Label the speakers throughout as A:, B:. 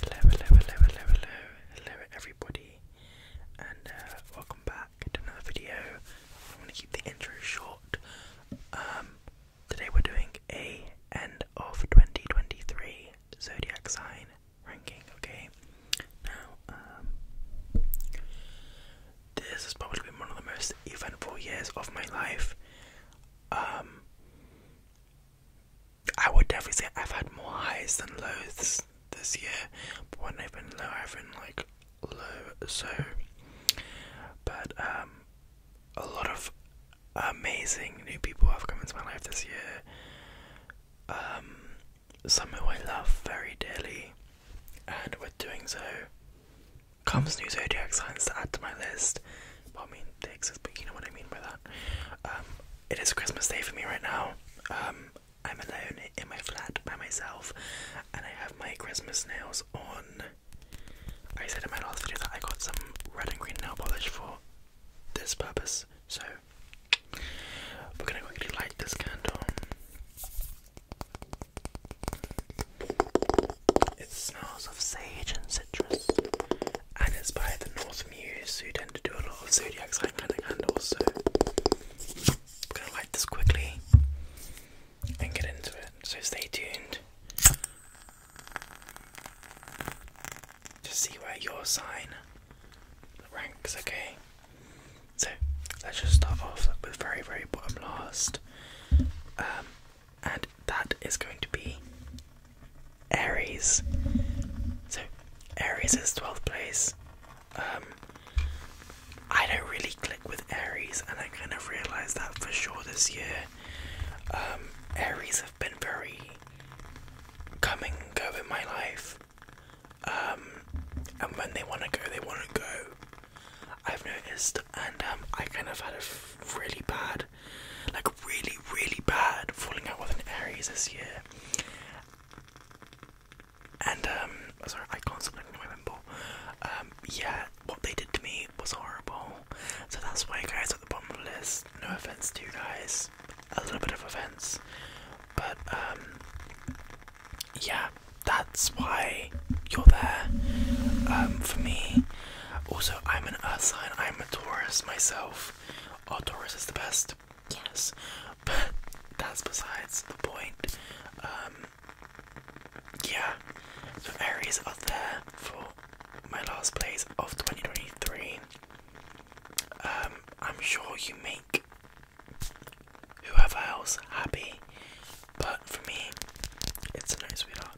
A: Hello, hello, hello, hello, hello, everybody, and uh, welcome back to another video. I want to keep the intro short. Um, today we're doing a end of 2023 zodiac sign ranking. Okay, now um, this has probably been one of the most eventful years of my life. Um, I would definitely say I've had more highs than lows this year, but when I've been low, I've been like low. So, but um, a lot of amazing new people have come into my life this year. Um, some who I love very dearly, and with doing so, comes new zodiac signs to add to my list. But I mean, they exist, but you know what I mean by that. Um, it is Christmas Day for me right now. Um, I'm alone in my flat by myself, and I have my Christmas nails on. I said in my last video that I got some red and green nail polish for this purpose, so we're gonna quickly light this candle. It smells of sage and citrus, and it's by the North Muse who tend to do a lot of zodiac sign kind of handles, so I'm going this quickly and get into it. So stay tuned to see where your sign ranks, okay? So let's just start off with very, very bottom last. Um, and that is going to be Aries. So Aries is 12th place. Um, I don't really click with Aries, and I kind of realized that for sure this year. Um, Aries have been very coming and go my life. Um, and when they want to go, they want to go. I've noticed, and I kind of had a really bad like really, really bad falling out with an Aries this year. And um sorry, I can't remember. Um, yeah, what they did to me was horrible. So that's why guys at the bottom of the list, no offense to you guys. A little bit of offense. But um yeah, that's why you're there. Um for me. Also I'm an earth sign, I'm a Taurus myself. Oh, is the best. Yes. But that's besides the point. Um, yeah. So Aries are there for my last plays of 2023. Um, I'm sure you make whoever else happy, but for me, it's a no, sweetheart.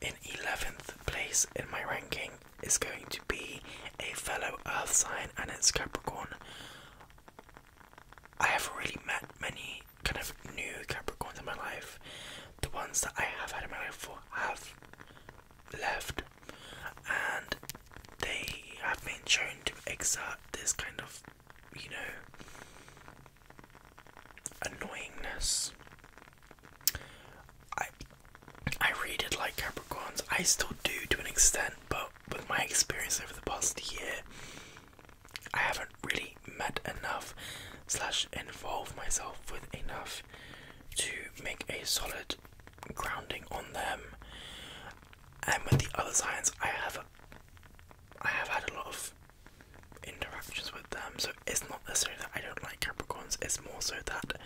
A: In 11th place in my ranking is going to be a fellow Earth sign, and it's Capricorn. I haven't really met many kind of new Capricorns in my life. The ones that I have had in my life for have left, and they have been shown to exert this kind of, you know, annoyingness I I read it like Capricorns. I still do to an extent, but with my experience over the past year, I haven't really met enough slash involved myself with enough to make a solid grounding on them. And with the other signs, I have a, I have had a lot of interactions with them, so it's not necessarily that I don't like Capricorns. It's more so that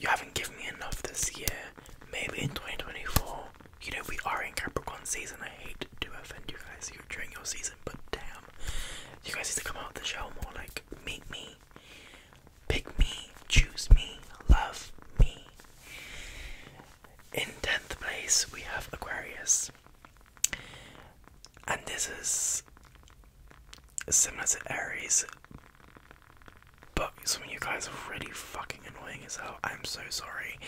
A: you haven't given me enough this year. Maybe in 2024. You know, we are in Capricorn season. I hate to offend you guys during your season, but damn. You guys need to come out of the show more like, meet me, pick me, choose me, love me. In 10th place, we have Aquarius and this is similar to Aries, but some of you guys are really fucking annoying as hell. I'm so sorry.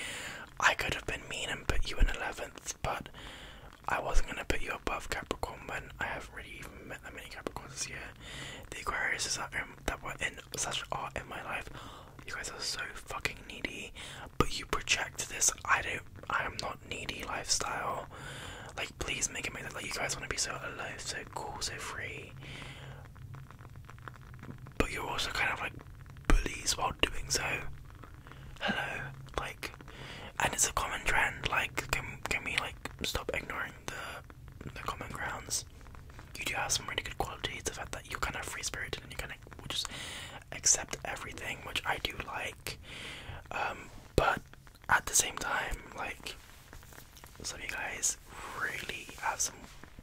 A: I could have been mean and put you in 11th, but I wasn't going to put you above Capricorn when I haven't really met that many Capricorns this year. The Aquariuses that, that were in such art in my life, you guys are so fucking needy, but you project this I don't, I am not needy lifestyle. Like, please make it make it like you guys want to be so alive, so cool, so free. But you're also kind of like bullies while doing so. Hello, like, and it's a common trend. Like, can can we like stop ignoring the the common grounds? You do have some really good qualities. The fact that you're kind of free spirited and you kind of just accept everything, which I do like. Um, but at the same time, like some of you guys really have some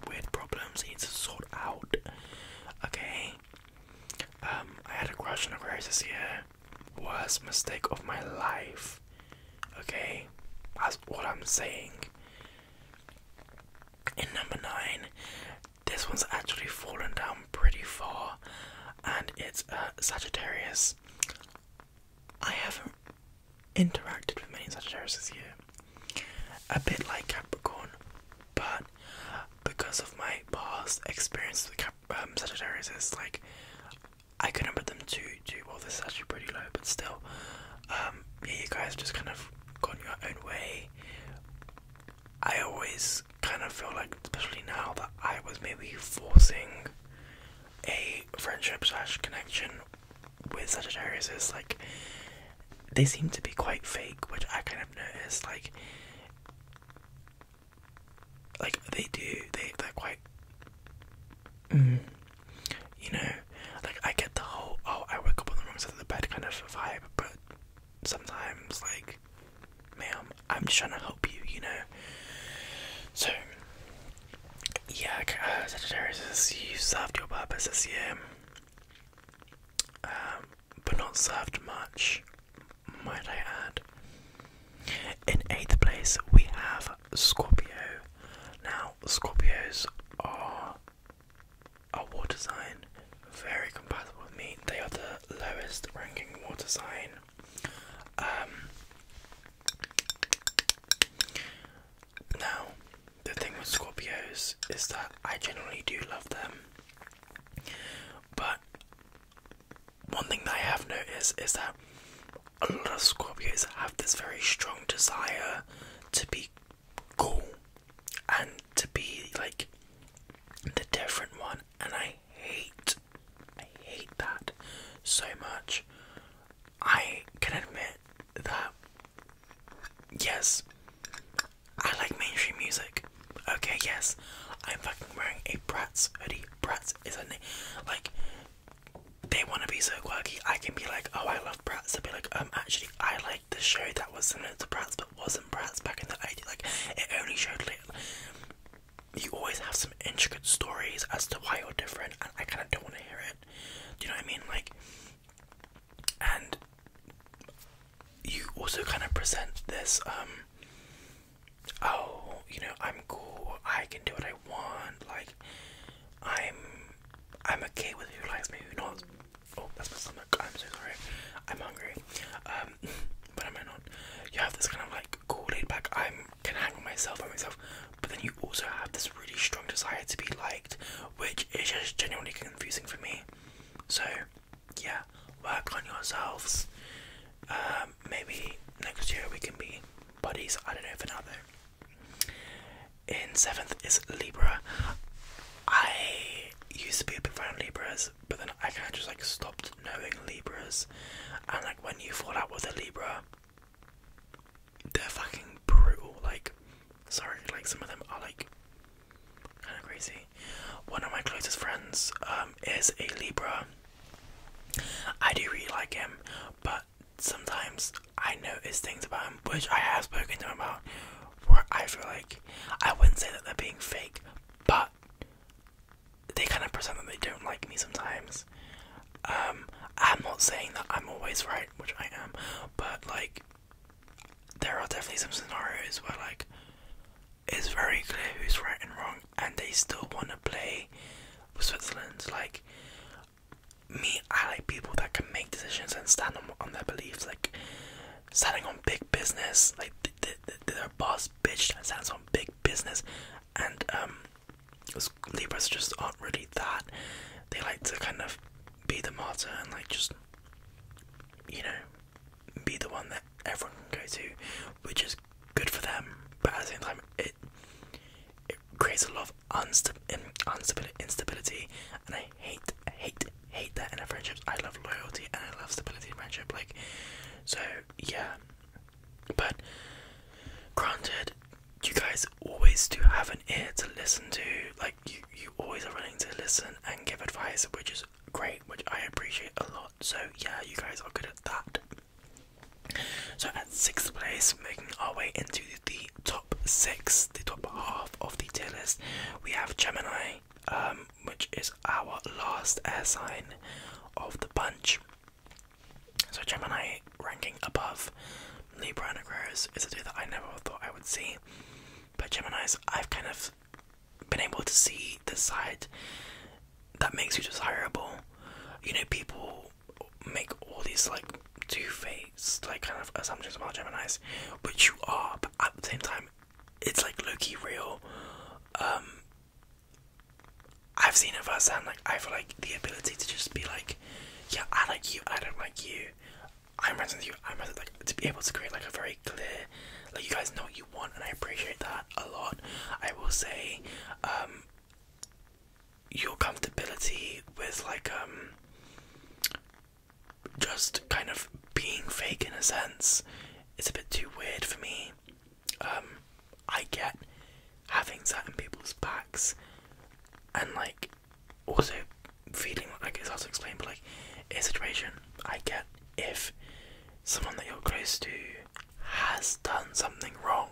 A: weird problems need to sort out. Okay. Um, I had a crush on Aquarius this year. Worst mistake of my life. Okay? That's what I'm saying. In number nine, this one's actually fallen down pretty far, and it's uh, Sagittarius. I haven't interacted with many Sagittarius this year. A bit like Capricorn, but because of my past experience with Cap um, Sagittarius, like I couldn't put them to too well. This is actually pretty low, but still, um, yeah, you guys just kind of gone your own way. I always kind of feel like, especially now, that I was maybe forcing a friendship slash connection with Sagittarius is like they seem to be quite fake, which I kind of notice. Like, like they do, they they're quite, mm, you know, like I get the whole oh I woke up on the wrong side of the bed kind of vibe, but sometimes like, ma'am, I'm just trying to help you, you know. So Jak uh, Sagittarius you served your purpose this year, um, but not served much, might I add. In eighth place, we have Scorpio. Now, Scorpios are a water sign, very compatible with me. They are the lowest ranking water sign. Um, now, the thing with Scorpios is that I generally do love them, but one thing that I have noticed is that a lot of Scorpios have this very strong desire to be cool and to be like the different one, and I hate I hate that so much. I can admit that, yes, I like mainstream music. Okay, yes, I'm fucking wearing a Bratz hoodie. Bratz is a name. Like, they want to be so quirky. I can be like, oh, I love Bratz. i will be like, um, actually, I like the show that was not to Bratz but wasn't Bratz back in the 80s. Like, it only showed little you always have some intricate stories as to why you're different, and I kind of don't want to hear it. Do you know what I mean? Like, and you also kind of present this, um, oh, you know, I'm cool, I can do what I want, like, I'm, I'm okay with who likes me, who not. Oh, that's my stomach. I'm so sorry. I'm hungry. Um, but i am not? You have this kind of like like cool laid back i can hang myself by myself but then you also have this really strong desire to be liked which is just genuinely confusing for me so yeah work on yourselves um, maybe next year we can be buddies i don't know for now though in seventh is libra i used to be a big fan of libras but then i kind of just like stopped knowing libras and like when you fall out with a libra they're fucking brutal. Like, sorry, like some of them are like kind of crazy. One of my closest friends um, is a Libra. I do really like him, but sometimes I notice things about him which I have spoken to him about where I feel like I wouldn't say that they're being fake, but they kind of pretend that they don't like me sometimes. Um, I'm not saying that I'm always right, which I am, but like, there are definitely some scenarios where like it's very clear who's right and wrong, and they still want to play with Switzerland. Like, me, I like people that can make decisions and stand on, their beliefs, like standing on big business, like their boss bitch stands on big business, and um Libras just aren't really that. They like to kind of be the martyr and like just, you know, be the one that everyone can go to, which is good for them. But at the same time, it it creates a lot of unsta instability, instability, and I hate, hate, hate that in a friendship. I love loyalty and I love stability in friendship. Like, so yeah, but granted, you guys always do have an ear to listen to. Like you, you always are willing to listen and give advice, which is great, which I appreciate a lot. So yeah, you guys are good at that. So at sixth place, making our way into the top six, the top half of the tier list, we have Gemini, um, which is our last air sign of the bunch. So Gemini ranking above Libra and Aquarius is a two that I never thought I would see. But Gemini's, I've kind of been able to see the side that makes you desirable. You know, people make all these like two-faced like kind of assumptions about Gemini's, but you are, but at the same time, it's like Loki real. Um, I've seen it firsthand. Like I feel like the ability to just be like, yeah, I like you, I don't like you. I'm friends with you. I'm friends with, like to be able to create like a very clear, like you guys know what you want, and I appreciate that a lot. I will say, um, your comfortability with like um, just kind of being fake in a sense, is a bit too weird for me. Um, I get having that in people's backs and like also feeling like it's hard to explain, but like a situation, I get if someone that you're close to has done something wrong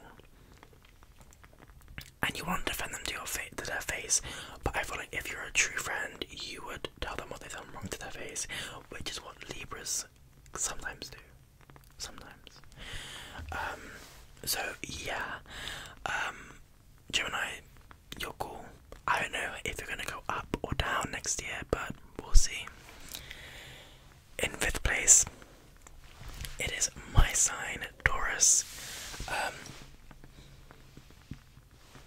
A: and you want to defend them to your fa to their face, but I feel like if you're a true friend, you would tell them what they've done wrong to their face, which is what Libras sometimes do sometimes. Um, so yeah, um, Gemini, you're cool. I don't know if you're gonna go up or down next year, but we'll see. In fifth place, it is my sign, Taurus. Um,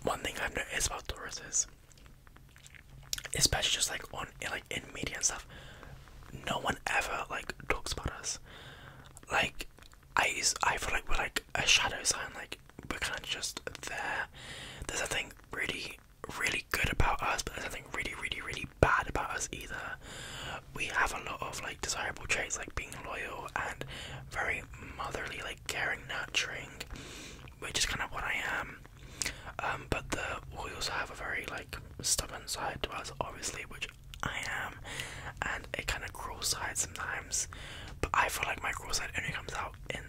A: one thing I've noticed about Taurus is, especially just like on like in media and stuff, no one ever like talks about us. Like I I feel like we're like a shadow sign. Like we're kind of just there. There's something really, really good about us, but there's nothing really, really, really bad about us either. We have a lot of like desirable traits, like being loyal and very motherly, like caring, nurturing, which is kind of what I am. Um, but the we also have a very like stubborn side to us, obviously, which I am, and a kind of cruel side sometimes. But I feel like my cruel side only comes out in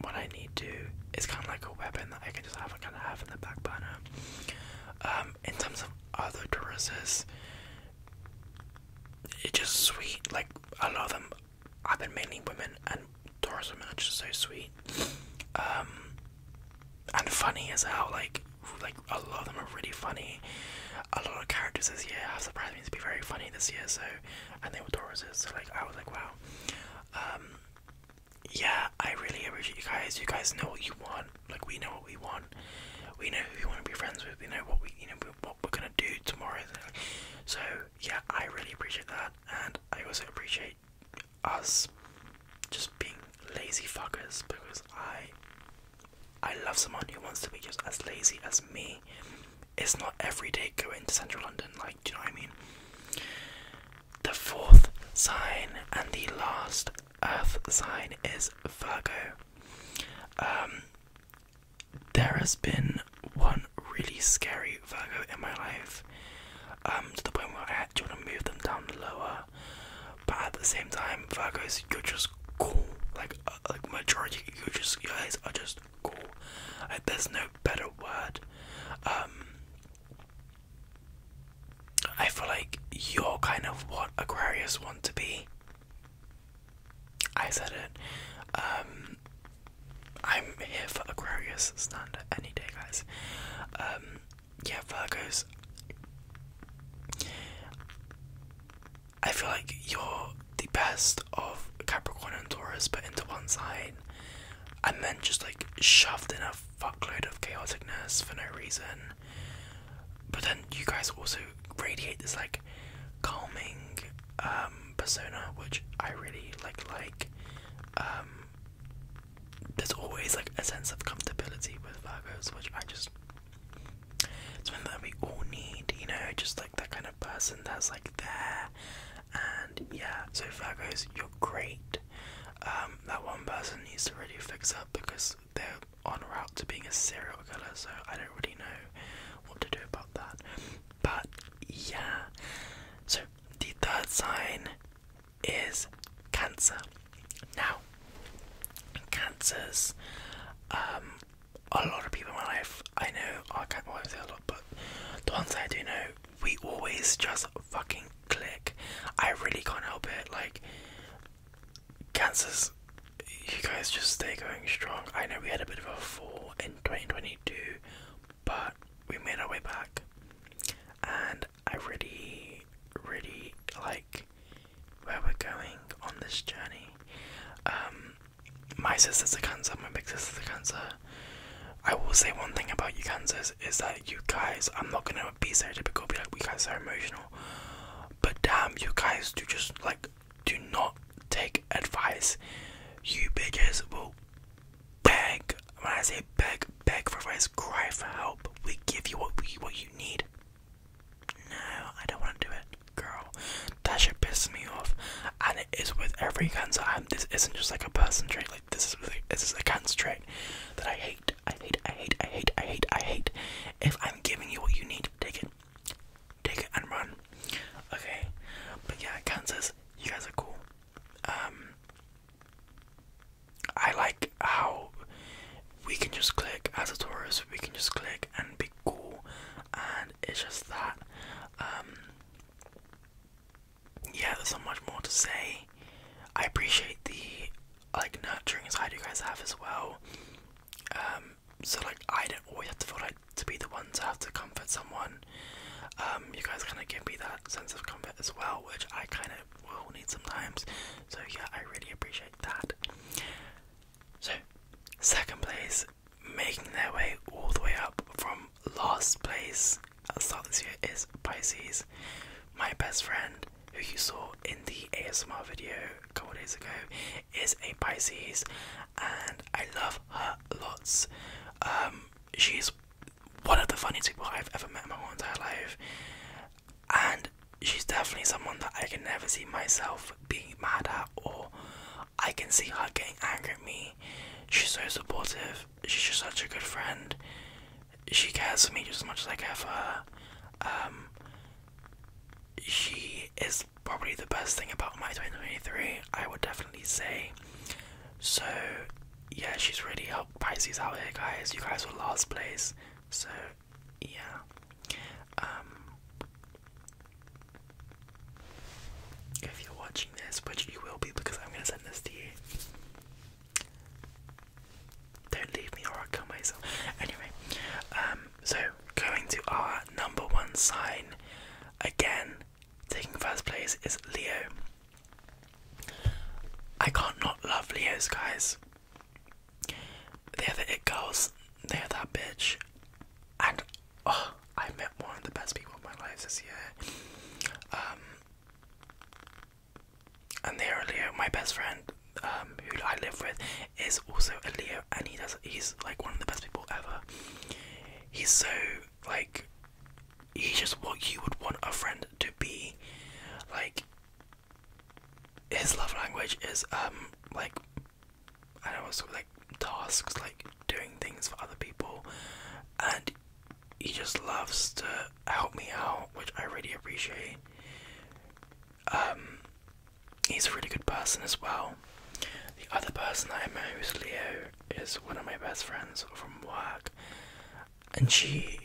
A: what I need to. It's kind of like a weapon that I can just have, I kind of have in the back burner. Um, in terms of other Tauruses, it's just sweet. Like a lot of them, I've been mainly women, and Taurus women are just so sweet. Um, and funny as hell. Like, like a lot of them are really funny. A lot of characters this year have surprised me to be very funny this year. So, and they were Tauruses. So, like, I was like, wow. Um, yeah, I really appreciate you guys. You guys know what you want. Like, we know what we want. We know who we want to be friends with. We know what we, you know, what we're gonna do tomorrow. So, yeah, I really appreciate that, and I also appreciate us just being lazy fuckers because I I love someone who wants to be just as lazy as me. It's not every day going to central London, like do you know what I mean? The fourth sign and the last earth sign is Virgo. Um there has been one really scary Virgo in my life. Um to the point where I had to want to move them down lower but at the same time, Virgos, you're just cool. Like, uh, like majority, you just you guys are just cool. Like, there's no better word. Um, I feel like you're kind of what Aquarius want to be. I said it. Um, I'm here for Aquarius standard any day, guys. Um, yeah, Virgos, I feel like you're the best of Capricorn and Taurus, but into one side, and then just like shoved in a fuckload of chaoticness for no reason. But then you guys also radiate this like calming um, persona, which I really like. Like, um, there's always like a sense of comfortability with Virgos, which I just something that we all need, you know, just like that kind of person that's like there. And yeah, so Virgos, you're great. Um, that one person needs to really fix up because they're on route to being a serial killer, so I don't really know what to do about that. But yeah, so did that sign is cancer. Now, cancers, um, a lot of people in my life I know I can't always say a lot, but the ones I do know, we always just fucking click. I really can't help it. Like, cancers, you guys just stay going strong. I know we had a bit of a fall in 2022, but we made our way back. And I really, really like where we're going on this journey. Um, my sister's a cancer, my big sister's a cancer. I will say one thing about you cancers is that you guys, I'm not gonna be so typical, be like, we guys are emotional, but damn, you guys do just like, do not take advice. You bitches will beg. When I say beg, beg for rest, cry for help. We give you what we, what you need. No, I don't want to do it, girl. That should piss me off, and it is with every cancer. I'm, this isn't just like a person trait. Like this is this is a cancer trait that I hate. I hate. I hate. I hate. I hate. I hate. If I'm giving you what you need, take it, take it and run. Okay, but yeah, cancers. You guys are cool. Um, I like how we can just click as a tourist, we can just click and be cool, and it's just that. Um, yeah, there's so much more to say. I appreciate the like nurturing side you guys have as well. Um, so like I don't always have to feel like to be the one to have to comfort someone. Um, you guys kind of give me that sense of comfort as well, which I kind of we all need sometimes. So yeah, I really appreciate that. So, second place, making their way all the way up from last place at the start this year is Pisces, my best friend who you saw in the ASMR video a couple days ago is a Pisces and I love her lots. Um, she's one of the funniest people I've ever met in my whole entire life and she's definitely someone that I can never see myself being mad at, or I can see her getting angry at me. She's so supportive, she's just such a good friend. She cares for me just as much as I care for her. Um, she is probably the best thing about my 2023, I would definitely say. So, yeah, she's really helped Pisces out here, guys. You guys were last place, so yeah. Um, if you're watching this, which you will be because I'm gonna send this to you, don't leave me or I'll kill myself. Anyway, um, so going to our number one sign again, taking first place is Leo. I can't not love Leos, guys. There are it goes. There that bitch. And oh, I met one of the best people of my life this year. Um, and they're Leo. My best friend, um, who I live with, is also a Leo, and he does. He's like one of the best people ever. He's so like. He's just what you would want a friend to be. Like, his love language is um like I don't know like tasks, like doing things for other people, and he just loves to help me out, which I really appreciate. Um, he's a really good person as well. The other person I know who's Leo is one of my best friends from work, and she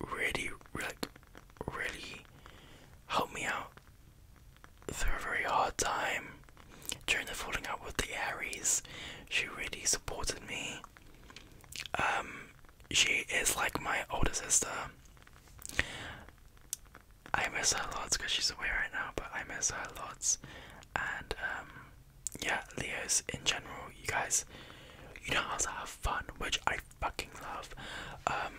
A: really, really, really helped me out through a very hard time during the falling out with the Aries. She really supported me. Um, she is like my older sister. I miss her lots because she's away right now, but I miss her lots. And um, yeah, Leos in general, you guys, you know how to have fun, which I fucking love. Um,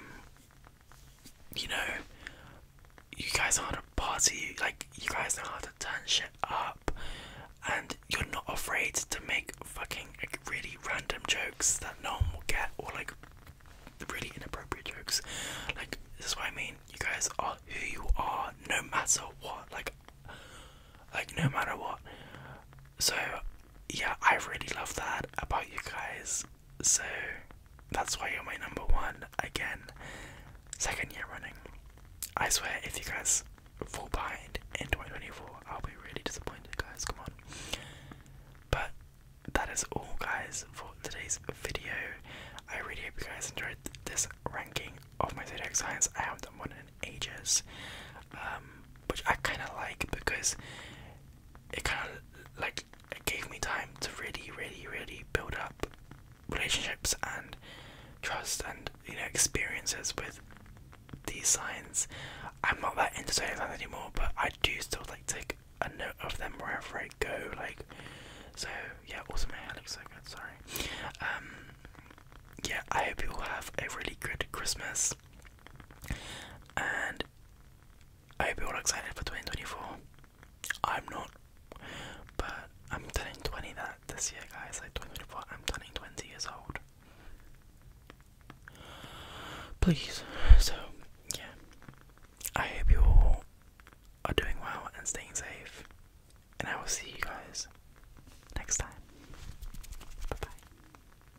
A: you know, you guys know how to party, like, you guys know how to turn shit up, and you're not afraid to make fucking like, really random jokes that no one will get, or like really inappropriate jokes. Like, this is what I mean. You guys are who you are, no matter what. Like, like no matter what. So yeah, I really love that about you guys. So that's why you're my number one again. Second year running. I swear, if you guys fall behind in 2024, I'll be really disappointed, guys. Come on. But that is all, guys, for today's video. I really hope you guys enjoyed this ranking of my zodiac signs. I haven't done one in ages, um, which I kind of like because it kind of like it gave me time to really, really, really build up relationships and trust and you know experiences with these signs. I'm not that into zodiac signs anymore, but I do still like take a note of them wherever I go. Like, so yeah. Also, my hair looks so good. Sorry. Um, yeah. I hope you all have a really good Christmas and I hope you're all excited for 2024. I'm not, but I'm turning 20 that this year, guys. Like 2024, I'm turning 20 years old. Please, so yeah, I hope you all are doing well and staying safe, and I will see you guys next time. Bye bye.